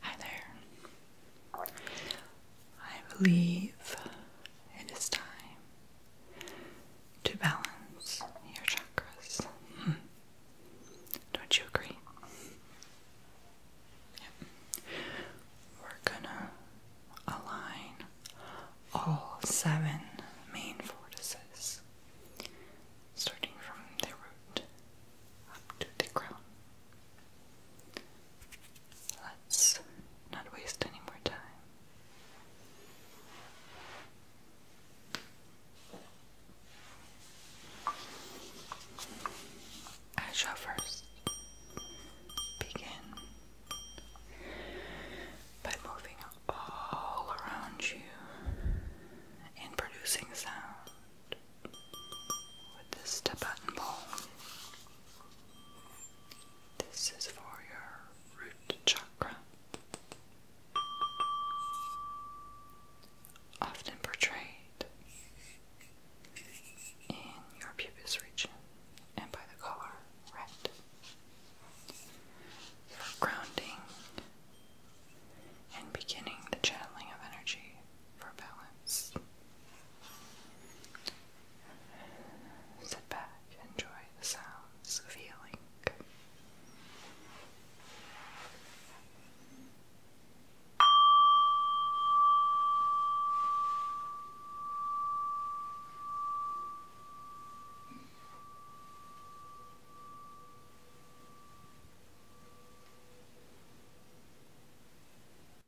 Hi there. I believe it is time to balance your chakras. Hmm. Don't you agree? We're gonna align all seven main vortices, starting from the root up to the crown. Let's not waste any more time. I first begin by moving all around you and producing sound with this button ball. This is for your root chakra. Often portrayed in your pubis region and by the color red. For grounding and beginning the channeling of energy for balance. Sit back, enjoy the sounds of healing.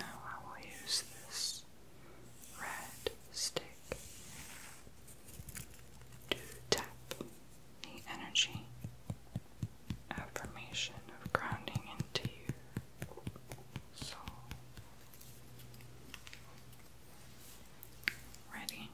Now I will use this red stick to tap the energy affirmation of grounding into your soul. Ready?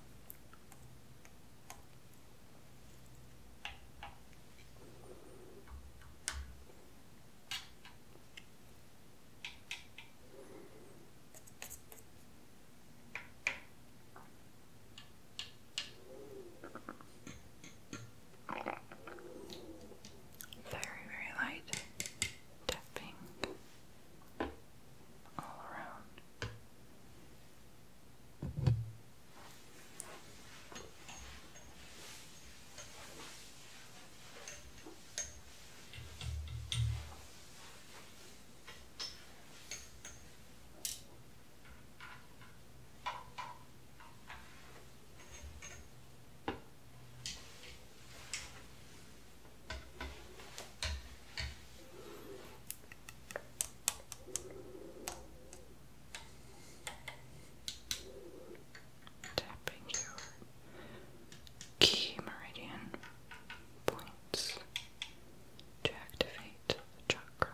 Very, very light tapping all around. Tapping your key meridian points to activate the chakra.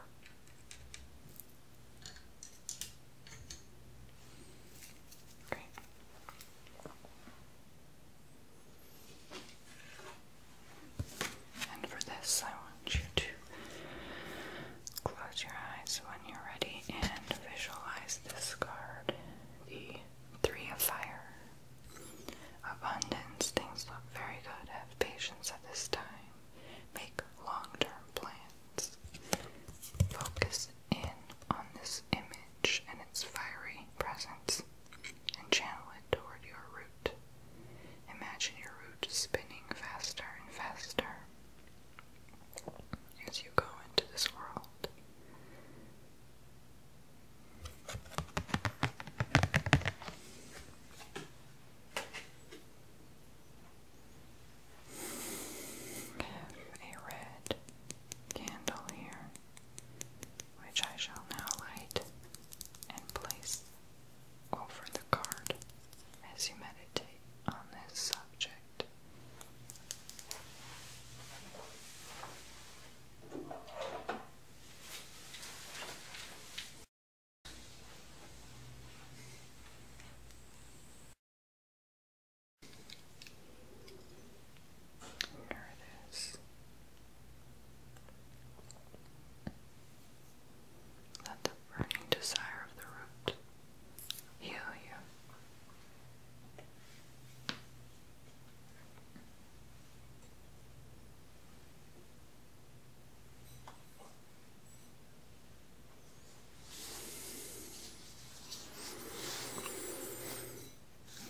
And for this, I want you to close your eyes when you're ready and visualize this card the Three of Fire. Abundance, things look very good. Have patience at this time. Make long term plans focus in on this image and its fiery presence and channel it toward your root. Imagine your root spinning faster and faster as you go into this world have a red candle here, which I shall now light and place over the card as you meditate on this subject. There Let the burning desire of the root heal you.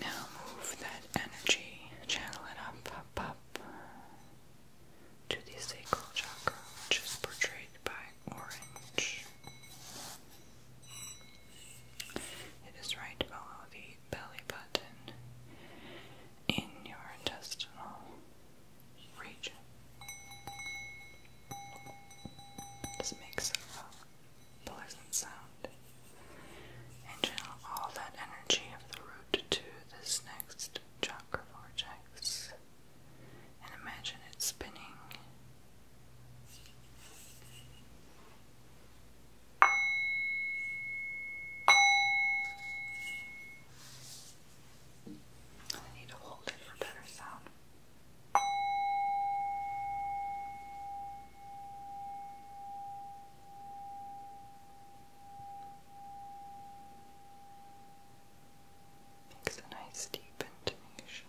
Now move that energy, channel it up, up, up to the sacral chakra, which portrayed by orange. It is right below the belly button in your intestinal region. This makes a pleasant sound. channel all that energy of the root to this next chakra vortex. And imagine it spinning. I need to hold it for better sound. Makes a nice deep intonation.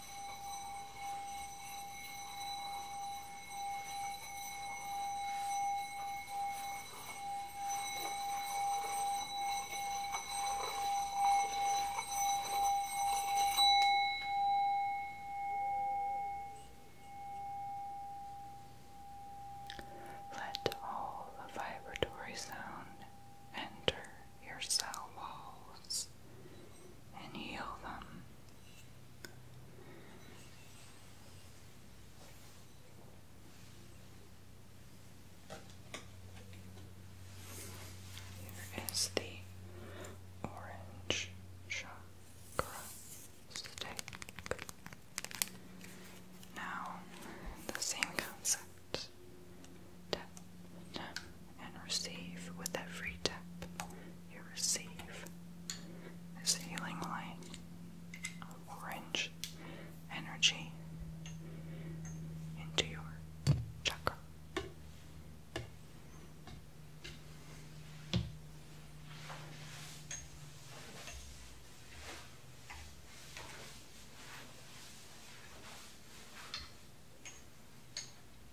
Let all vibratory sound enter your cell walls and heal them. Here is the orange chakra stick. Now, the same concept and receive with every tap you receive this healing light orange energy into your chakra.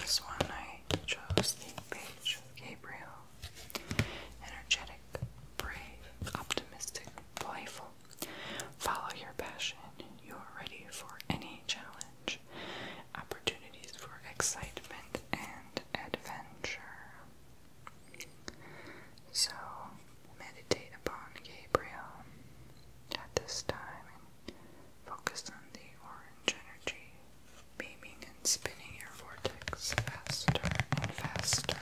This one I chose the page of Gabriel. Energetic, brave, optimistic, playful. Follow your passion. You are ready for any challenge. Opportunities for excitement and adventure. So meditate upon Gabriel at this time and focus on the orange energy beaming and spinning your vortex faster and faster.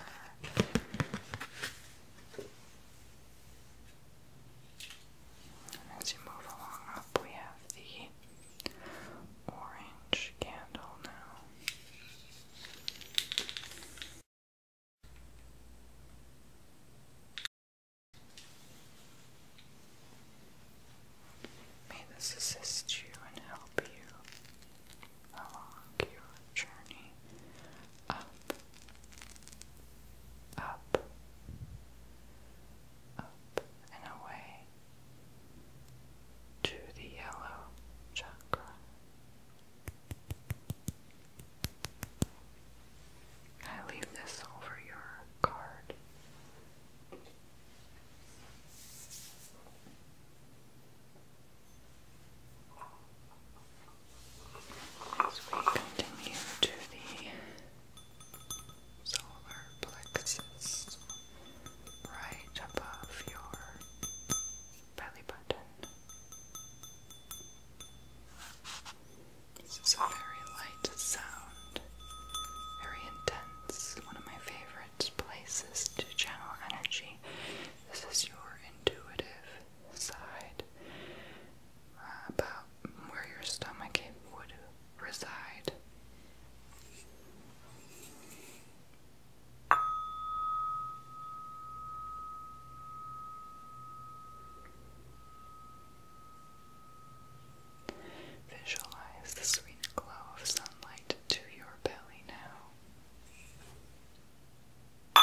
as you move along up, we have the orange candle now. May this assist you and help you along your journey up, up, up, and away to the yellow chakra. I leave this over your card. As we continue to the solar plexus right above your belly button. This is a very light sound, very intense, one of my favorite places to channel energy. This is your intuitive side uh, about where your stomach would reside. Visualize the sweet glow of sunlight to your belly now. Now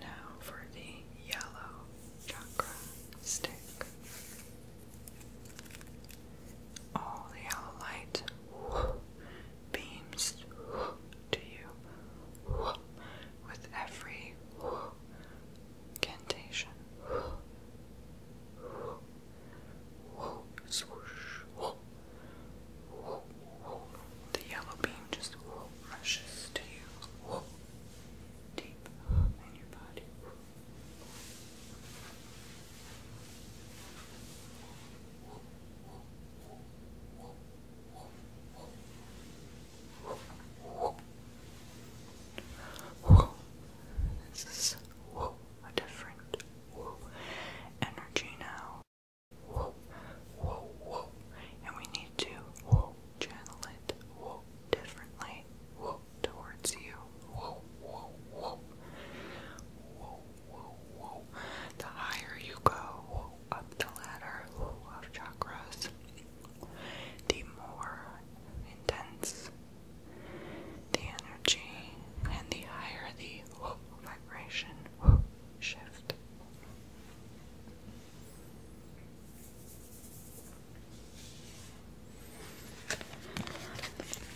Now for the yellow chakra stick. All the yellow light beams to you with every incantation. The yellow beam just rushes to you deep in your body. Whoa. This is a different energy now. And we need to channel it differently towards you. The higher you go up the ladder of chakras, the more intense the energy and the higher the vibration shift.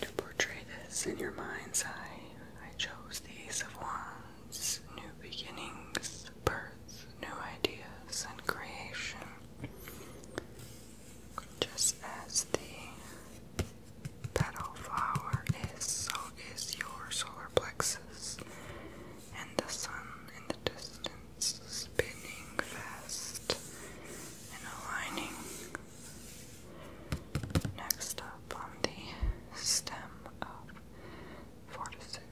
To portray this in your mind's eye, I chose the Ace of Wands, new beginnings, birth, new ideas, and creation. Just as the petal flower is, so is your solar plexus, and the sun in the distance spinning fast and aligning Next up on the stem of fortitude.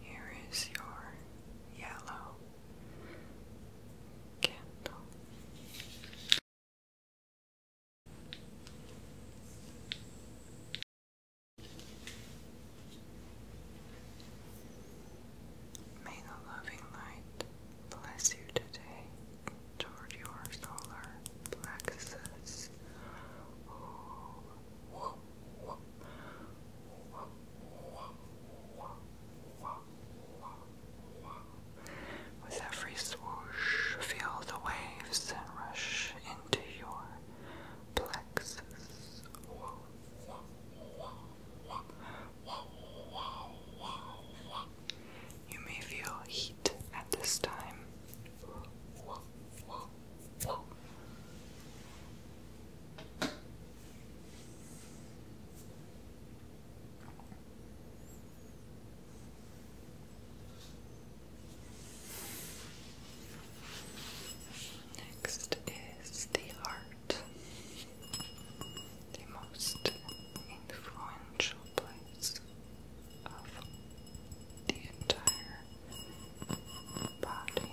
Here is your yellow candle. May the loving light bless you today toward your solar plexus. With every swoosh, feel the waves rush into your plexus. You may feel heat at this time. Next is the heart, the most influential place of the entire body.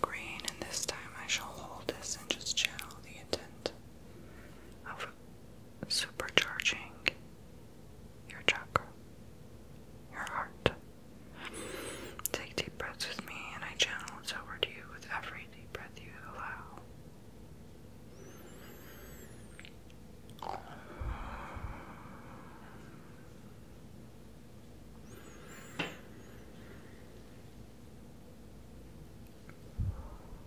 Green, and this time I shall hold this and just channel the intent of supercharging your chakra, your heart. Take deep breaths with me, and I channel it over to you with every deep breath you allow.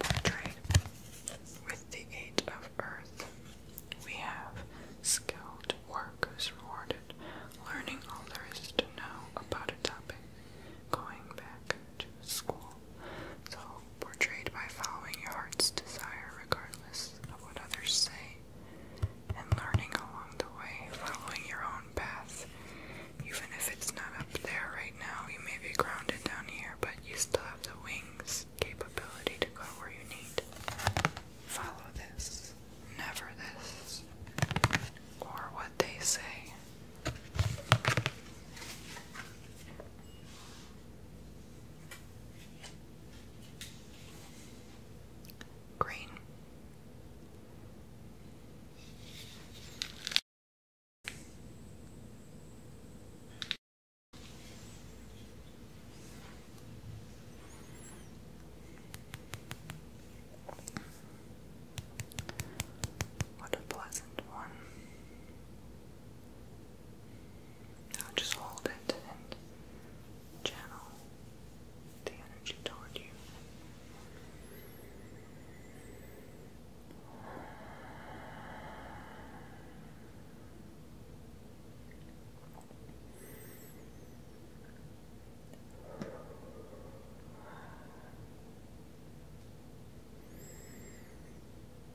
Portrayed with the Eight of Earth, we have skilled workers rewarded, learning all there is to know about a topic, going back to school soul. portrayed by following your heart's desire regardless of what others say and learning along the way, following your own path. Even if it's not up there right now, you may be grounded down here, but you still have the wings capability to go where you need. Follow this, never this, or what they say. Green. What a pleasant one. Now just hold it and channel the energy toward you.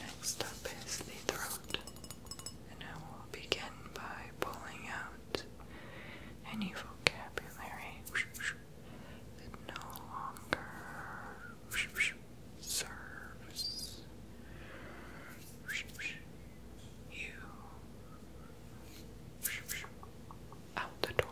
Next up is the throat, and I will begin by pulling out any vocabulary that no longer serves you out the door.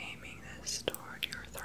Aiming this toward your throat.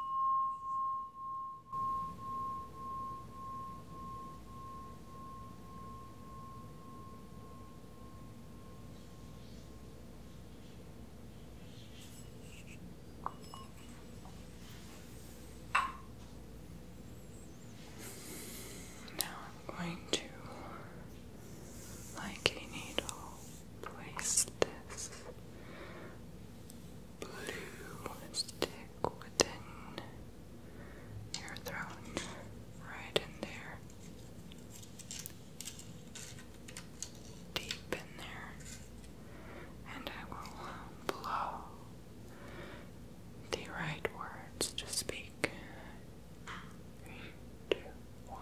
Now I'm going to, like a needle, place this blue stick within your throat, right in there, deep in there, and I will blow the right words to speak. Three, two, one.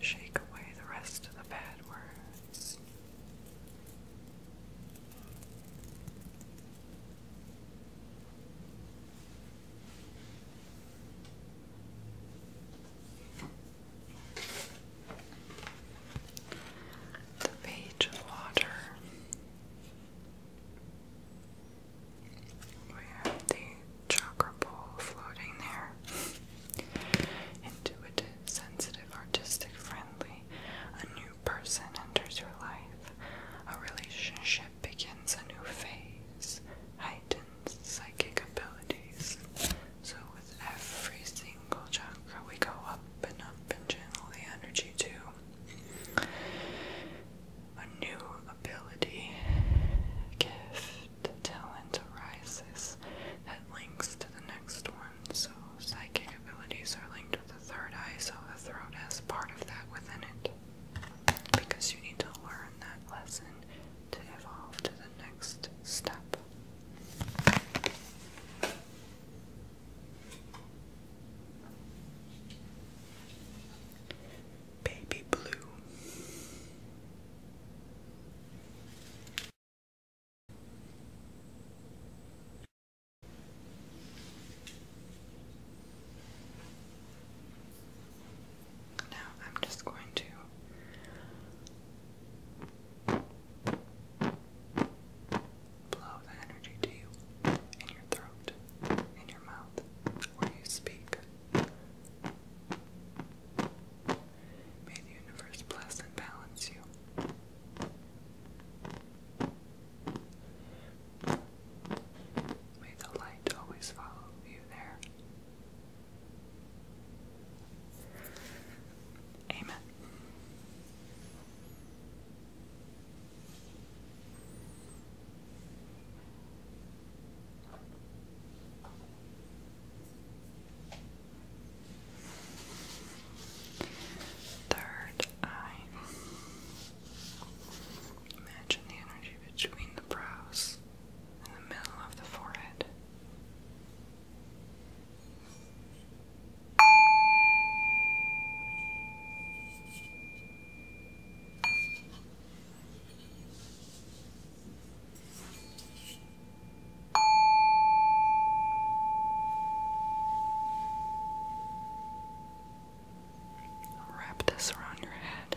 Shake away the rest of the bad words. The page of water we have the chakra bowl floating there. Intuitive, sensitive, artistic, friendly. A new person enters your life. A relationship begins a new phase. Heightened psychic abilities. So, with every single chakra, we go up and up and channel the energy to a new ability, gift, talent arises that links to the next one. So psychic abilities are linked with the third eye, so the throat has part of that within it. Because you need to learn that lesson to evolve to the next step. Baby blue. Now I'm just going to Blow the energy to your throat, in your mouth, where you speak. May the universe bless and balance you. May the light always follow you there. Amen. Third eye. Imagine the energy between the brows and the middle of the forehead. Wrap this around your head.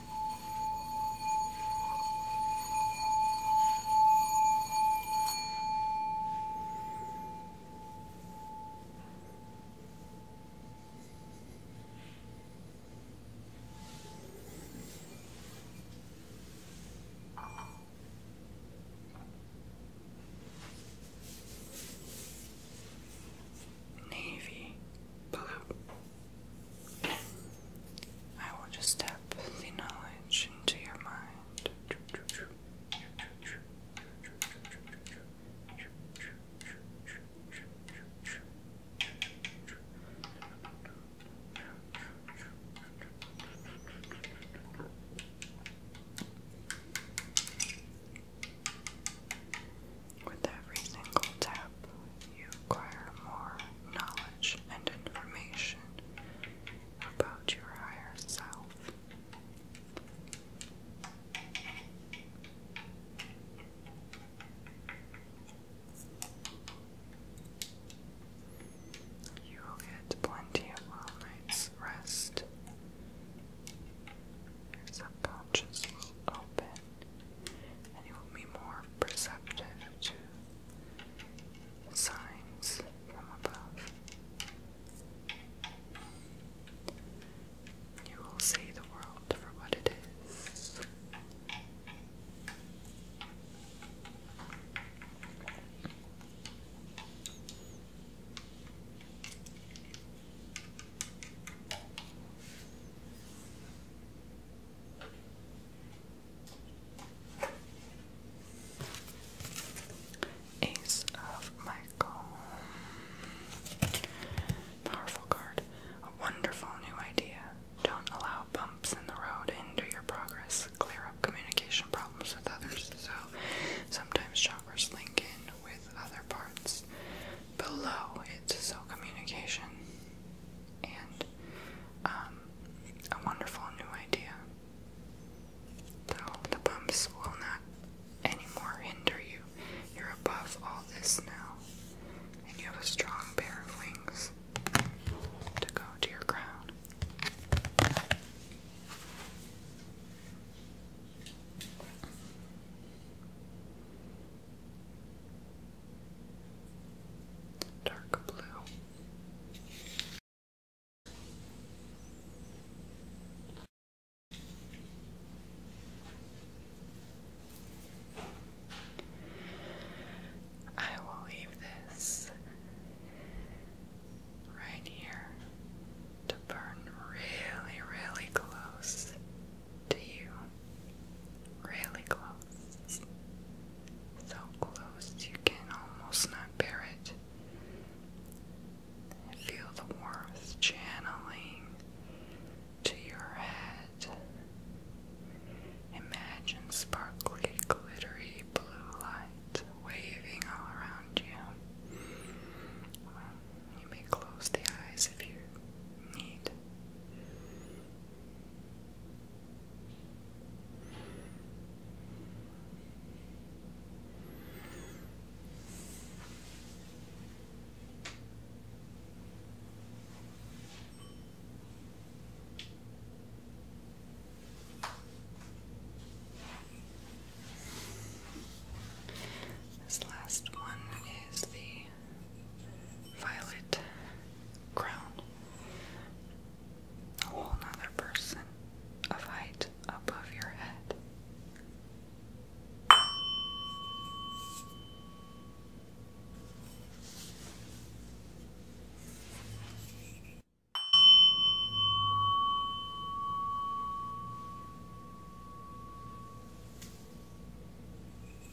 Navy blue. I will just tap the knowledge into your mind. With every single tap, you acquire more knowledge and information about your higher self. You will get plenty of well night's rest. Your subconscious will open and you will be more perceptive to signs from above. You will see the world for what it is. Ace of Michael. Powerful card. A wonderful new idea. Don't allow bumps in the road into your progress. Clear up communication problems with others. So sometimes chakras link in with other parts below it's so communication and um, a wonderful new idea. Though the bumps will not anymore hinder you. You're above all this now, and you have a strong pair of wings to go to your crown dark blue. I will leave this right here to burn really, really close to you. Really close. So close you can almost not bear it. Feel the warmth channeling to your head. Imagine sparkly, glittery blue light waving all around you. You may close the eyes if you this last one is the violet crown. A whole nother person of height above your head.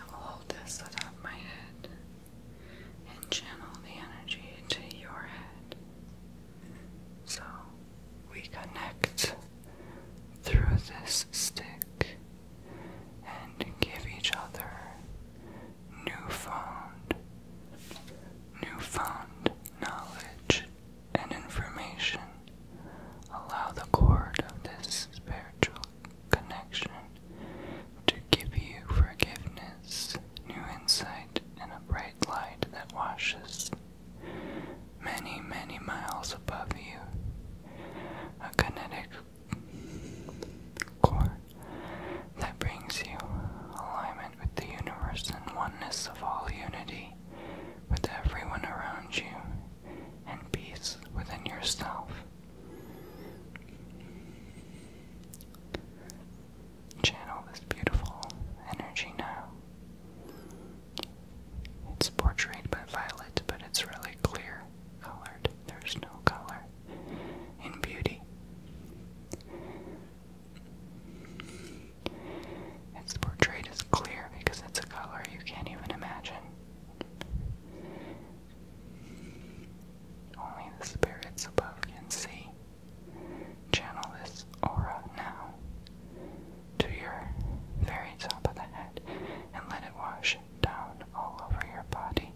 I will hold this atop my head and channel the energy to your head. So we connect through this stick and give each other new found knowledge and information allow the cord of this spiritual connection to give you forgiveness, new insight, and a bright light that washes many, many miles above you. A kinetic cord that brings you alignment with the universe and oneness of all unity with everyone around you and peace within yourself. Channel this beautiful energy now. It's portrayed by violet, but it's really clear colored. There's no color in beauty. It's portrayed as clear because it's a color you can't even imagine. Only the spirits above can see. Channel this aura now to your very top of the head and let it wash down all over your body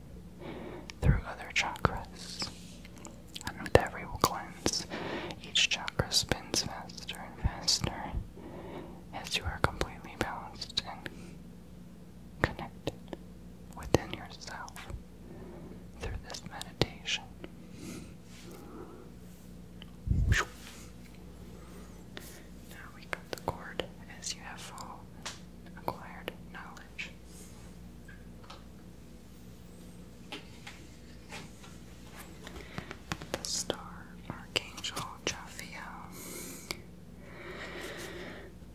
through other chakras. And with every cleanse, each chakra spins faster and faster as you are completely balanced and connected within yourself through this meditation. Now we cut the cord as you have full acquired knowledge the star archangel Jophiel.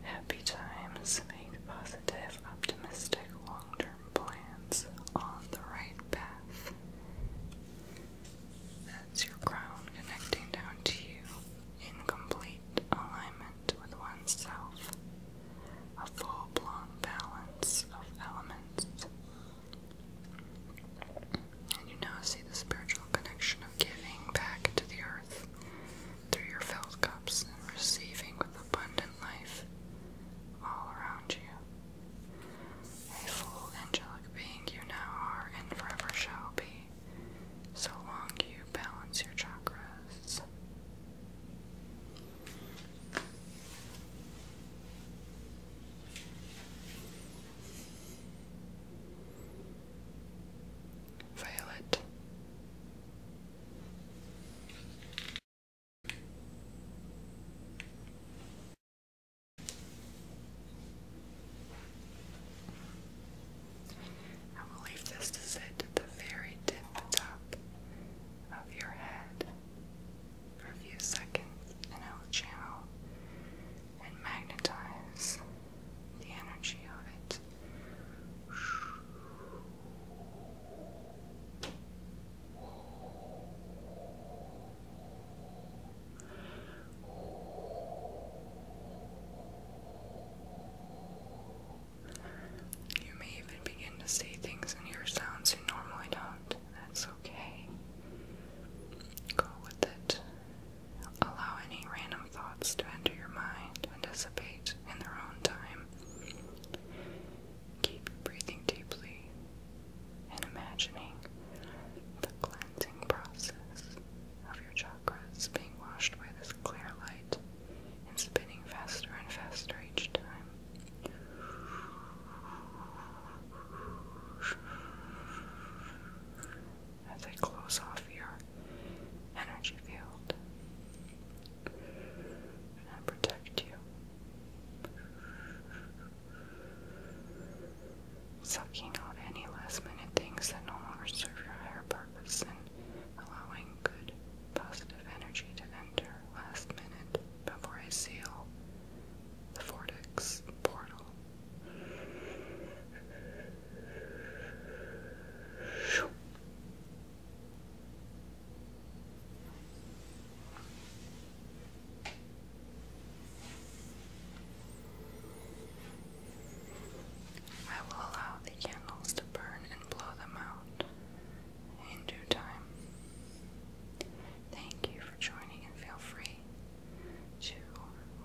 Happy times make positive, optimistic, long term plans on the right path. That's your crown connecting down to you in complete alignment with oneself. A full blown balance of elements and you now see the spiritual connection of giving back to the earth through your filled cups and receiving with abundant life all around you. A full angelic being you now are and forever shall be, so long you balance your chakras. Violet. I will leave this to sit at the very tip top of your head for a few seconds, and I will channel and magnetize the energy of it. You may even begin to say things in your sounds you normally don't. That's okay. Go with it. Allow any random thoughts to enter your mind and dissipate in their own time. Keep breathing deeply and imagining the cleansing process of your chakras being washed by this clear light and spinning faster and faster each time as I close off your energy field and protect you, sucking out any last minute things that no longer serve your higher purpose and allowing good, positive energy to enter last minute before I seal the vortex portal I will allow the candles to burn and blow them out in due time. Thank you for joining and feel free to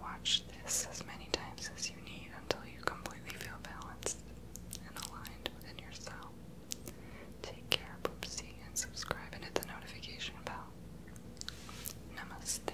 watch this as many times as you need until you completely feel balanced and aligned within yourself. Take care, Poopsie, and subscribe and hit the notification bell. Namaste.